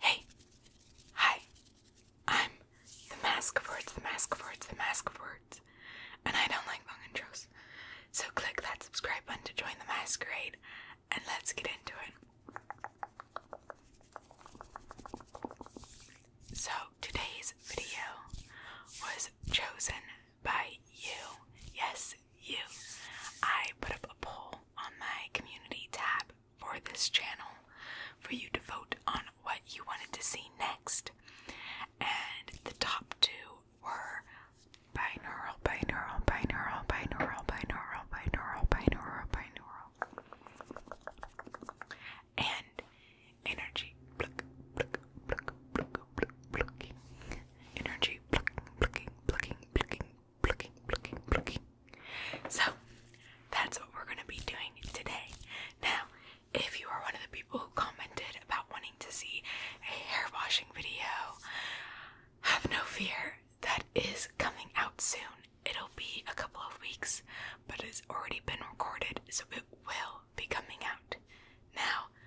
Hey, hi, I'm the Mask Words, the Mask Words, the Mask Words, and I don't like long So click that subscribe button to join the masquerade, and let's get into it. So today's video was chosen by you. Yes, is you. I put up a poll on my community tab for this channel for you to vote on what you wanted to see next. And the top two were binaural, binaural, binaural, binaural, binaural, binaural, binaural, binaural. And energy. Pluck, pluck, pluck, pluck, pluck, plucking. Energy. Plucking, plucking, plucking, plucking, plucking, plucking, plucking. So that's what we're gonna be doing today. Now, if you are one of the people who commented about wanting to see a hair washing video, have no fear. That is coming out soon. It'll be a couple of weeks, but it's already been recorded, so it will be coming out. Now,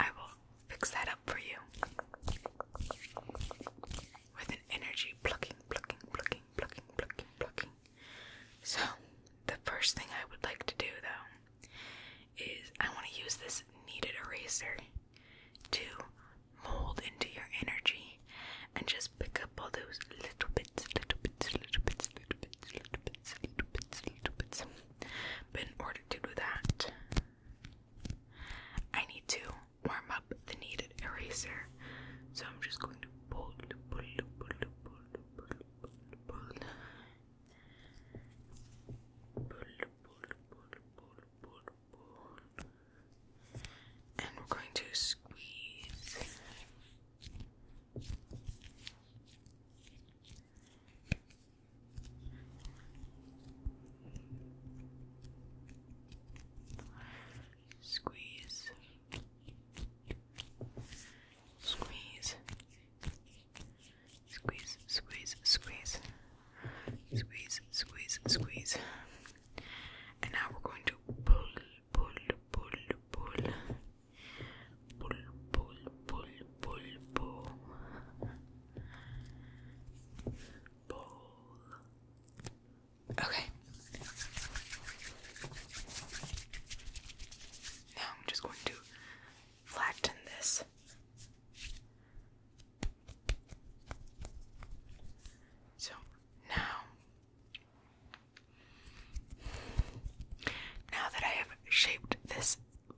I will fix that up for you with an energy plucking, plucking, plucking, plucking, plucking, plucking. So, the first thing I would like to do though is I want to use this kneaded eraser to mold into your energy and just pick up all those little bits, little bits, little bits, little bits, little bits, little bits, little bits. But in order to do that, I need to warm up the needed eraser, so I'm just going to pull, pull, pull, pull, pull, pull, pull, pull, pull, pull, pull, pull, and we're going to squeeze. Squeeze. Squeeze. Squeeze, squeeze, squeeze. Squeeze, squeeze, squeeze. And now we're going to pull, pull, pull, pull. Pull, pull, pull, pull, pull. Okay. Now I'm just going to flatten this. So now, now that I have shaped this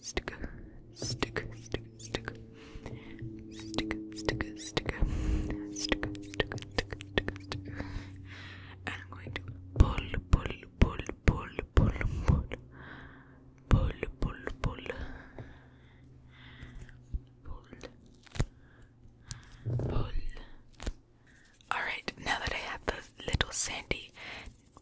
sticker, sticker, sticker, sticker, sticker, sticker, sticker, sticker, sticker, sticker, sticker, sticker. And I'm going to pull, pull, pull, pull, pull, pull, pull, pull, pull, pull, pull. All right, now that I have the little sandy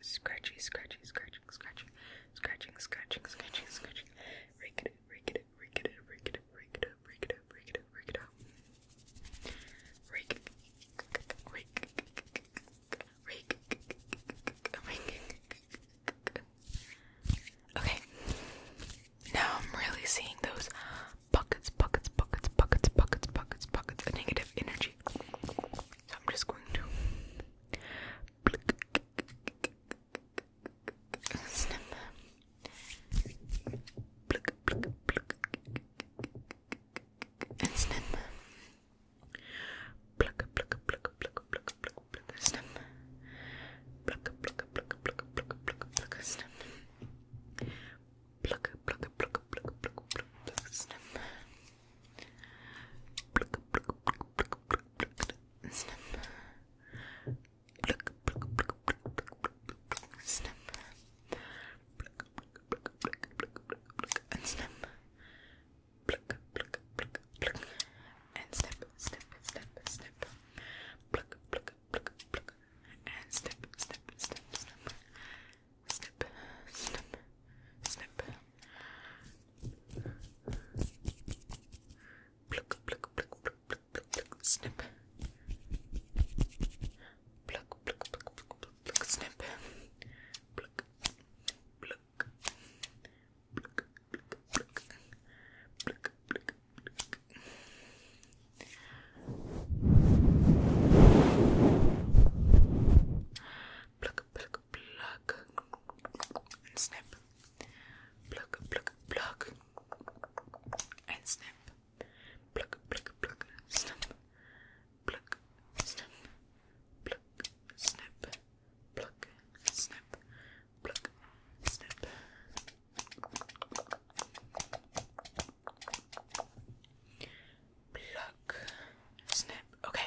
is scratchy, scratchy, scratching, scratching, scratching, scratching, scratching, scratching. Rake it, rake it, rake it, rake it, rake it, rake it, rake it, rake it up. Rake, rake, rake, rake. Okay. Now I'm really seeing those buckets, buckets, buckets, buckets, buckets, buckets, buckets of negative energy. So I'm just going to Snip. Pluck, pluck, pluck. And snip. Pluck, pluck, pluck, pluck, pluck, pluck, pluck, snip. Pluck, pluck, pluck, pluck, pluck, pluck, pluck, snip. Pluck, pluck, pluck, pluck, pluck, pluck, pluck, snip. Snip. Snip. Snip. And snip. Pluck, pluck, pluck, pluck. And snip, snip, snip, snip. Pluck, pluck, pluck, pluck. And snip, snip, snip, snip. Snip, snip, snip. Pluck, pluck, pluck, pluck, pluck, pluck, snip. Pluck, pluck, pluck, pluck, pluck, pluck, snip. Pluck, pluck, pluck, pluck, pluck, pluck, pluck, pluck. Pluck, pluck, pluck and snip. Pluck, pluck, pluck and snip. Pluck, pluck, pluck, snip. Pluck, snip. Pluck, snip. Pluck, snip. Pluck, snip. Pluck, snip. Okay.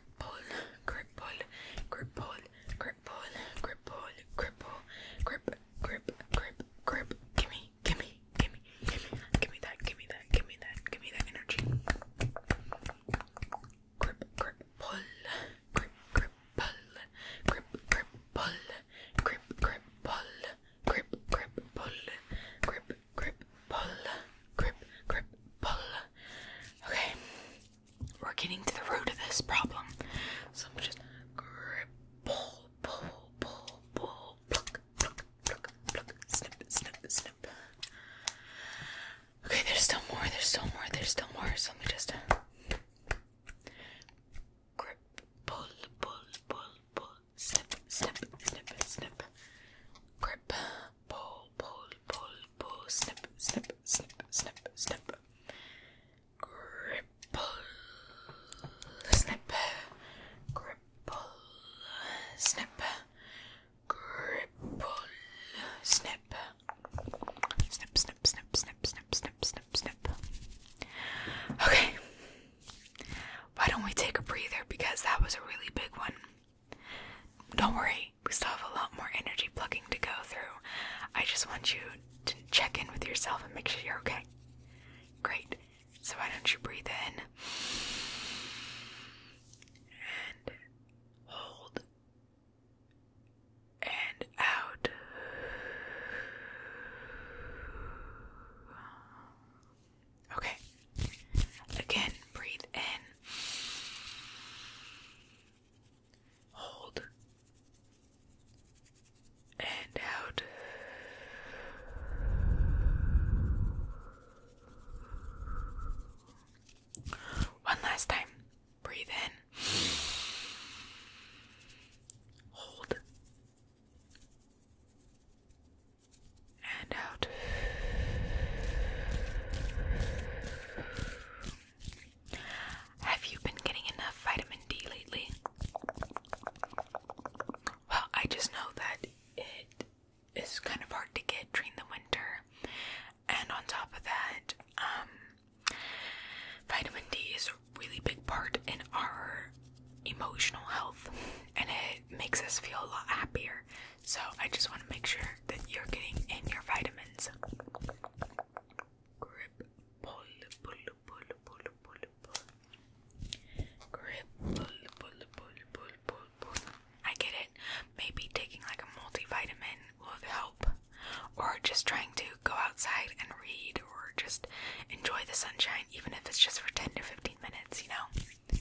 grip pull, grip pull, grip pull, grip pull, grip pull, grip pull, grip, grip, grip, grip. Gimme, gimme, gimme, gimme, gimme that, gimme that, gimme that, gimme that energy. grip, grip, pull, grip, grip, pull, grip, grip, pull, grip, grip, pull, grip, grip, pull, grip, grip, pull. Okay. We're getting to the root of this problem. So I'm just grip, pull, pull, pull, pull, pluck, pluck, pluck, pluck, snip, snip, snip. Okay, there's still more, there's still more, there's still more. So let me just uh, grip, pull, pull, pull, pull, snip, snip, snip, snip, grip, Pull, pull, pull, pull. Snip, snip, snip, snip, snip. Grip, pull, snip. Grip, pull, snip. Grip, pull, snip. Snip, snip, snip, snip, snip, snip, snip, snip. Okay. Why don't we take a breather because that was a really big one. Don't worry, we still have a lot more energy plugging to go through. I just want you to check in with yourself and make sure you're okay. Great. So, why don't you breathe in and hold and out. Okay. Again, breathe in Hold. And out. One last time. Breathe in. Hold. And out. Have you been getting enough vitamin D lately? Well, I just know that it is kind of hard to get during the winter, and on top of that, um, vitamin D is a really big part in our emotional health, and it makes us feel a lot happier. So I just want to make sure that you're getting in your vitamins. Grip, pull, pull, pull, pull, pull, pull. Grip, pull, pull, pull, pull, pull, pull. I get it. Maybe taking like a multivitamin will help, or just trying to go outside and read, or just enjoy the sunshine, even if it's just for 10 to 15 minutes, you know?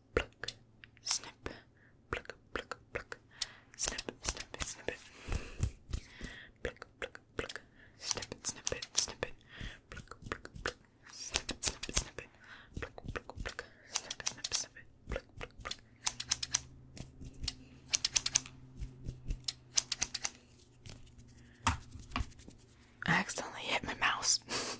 pluck, snip, pluck, pluck, pluck, snip, snip, snip pluck, pluck, pluck, snip snip snip pluck, pluck, pluck, snip snip snip pluck, pluck, pluck, snip snip, snip pluck, pluck, pluck. accidentally hit my mouse.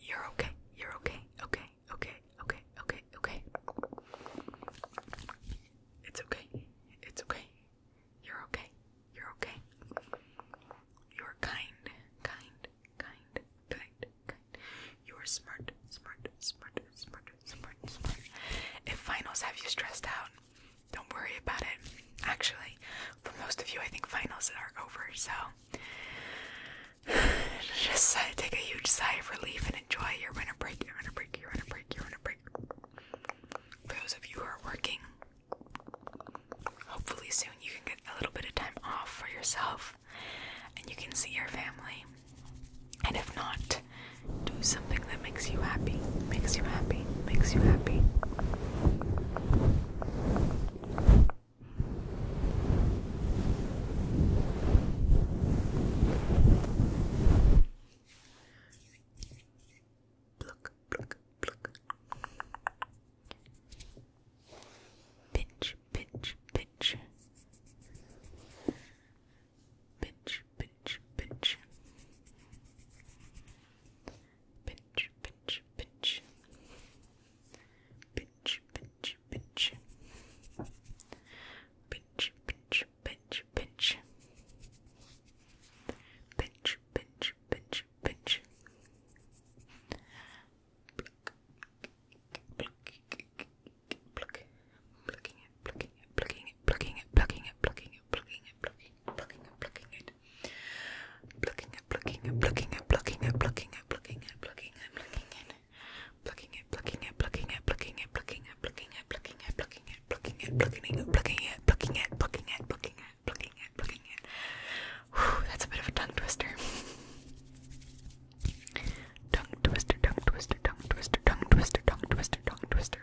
You're okay. You're okay. Okay. Okay. Okay. Okay. Okay. It's okay. It's okay. You're okay. You're okay. You're kind. Kind. Kind. Kind. Kind. You are smart. Smart. Smart. Smart. Smart. Smart. If finals have you stressed out, don't worry about it. Actually, for most of you, I think finals are over, so Just take a huge sigh of relief and enjoy your winter break, your winter break, your winter break, your winter break. those of you who are working, hopefully soon you can get a little bit of time off for yourself and you can see your family. And if not, do something that makes you happy, makes you happy, makes you happy. Pluck, pluck, pluck. Pinch, pinch, pinch. Pinch, pinch, pinch. Pinch, pinch, pinch. Pinch, pinch, pinch. Pinch, pinch, pinch, pinch. Pinch, pinch, pinch, pinch. Pluck. Pluck. Pluck. Plucking it, plucking it, plucking it, plucking it, plucking it, plucking it, plucking it, plucking it, plucking it, plucking it, it. Plucking it, plucking it, plucking it, plucking it, plucking it, plucking it, plucking it, plucking it. Plucking it, plucking it, plucking it, plucking it, plucking it, plucking it, plucking it, plucking it, plucking it, plucking it, plucking it, plucking it, plucking it, plucking it, plucking it, plucking it. Whew, that's a bit of a tongue twister. Tongue twister, tongue twister, tongue twister, tongue twister, tongue twister, tongue twister.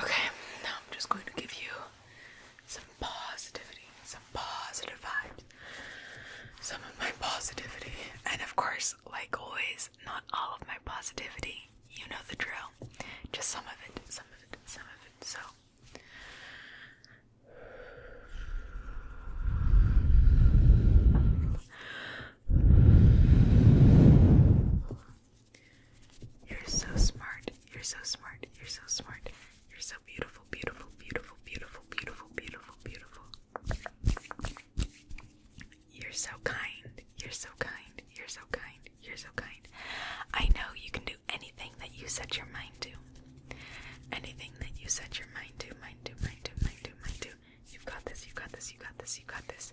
Okay, now I'm just going to give you some positivity, some positive vibes, some of my positivity, and of course, like always, not all of my positivity. You know the drill. Just some of it, some of it, some of it. So. You're so smart. You're so smart. You're so smart. You're so beautiful, beautiful, beautiful, beautiful, beautiful, beautiful, beautiful. You're so kind. You're so kind. You're so kind. You're so kind. I know you can do anything that you set your mind to. Anything that you set your mind to, mind to, mind to, mind to, mind to. You've got this. You've got this. You got this. You got this.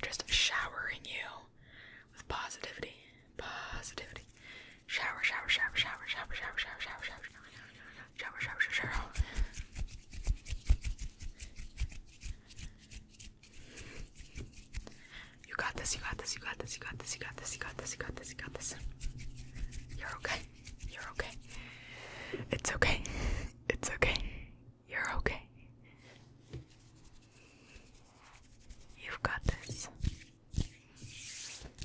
just showering you with positivity. Positivity. Shower, shower, shower, shower, shower, shower, shower, shower, shower, shower, shower, shower, shower. You got this, you got this, you got this, you got this, you got this, you got this, you got this, you got this. You're okay. You're okay. It's okay. It's okay. You're okay. You've got this.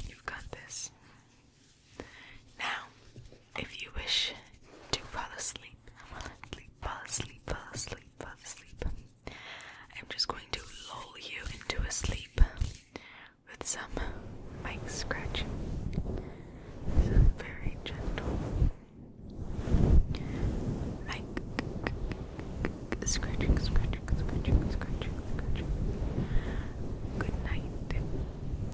You've got this. Now, if you wish to fall asleep, fall asleep, fall asleep, fall asleep, I'm just going to lull you into sleep with some mic scratching. very gentle mic scratching, scratching, scratching, scratching, scratching. Good night.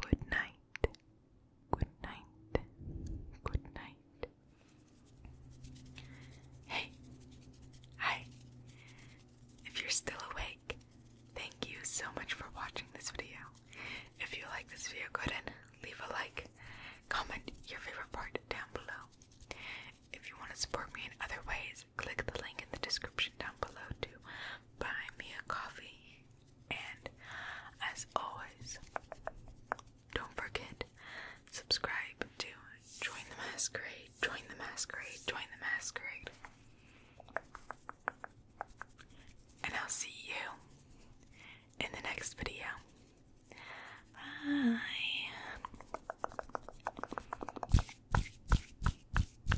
Good night. Good night. Good night. Hey. Hi. If you're still awake, thank you so much for watching this video. If you like this video, go ahead and leave a like, comment your favorite part down below. If you want to support me in other ways, click the link in the description down below to buy me a coffee. And as always, don't forget subscribe to Join the Masquerade, Join the Masquerade, Join the Masquerade. And I'll see you in the next video. Bye.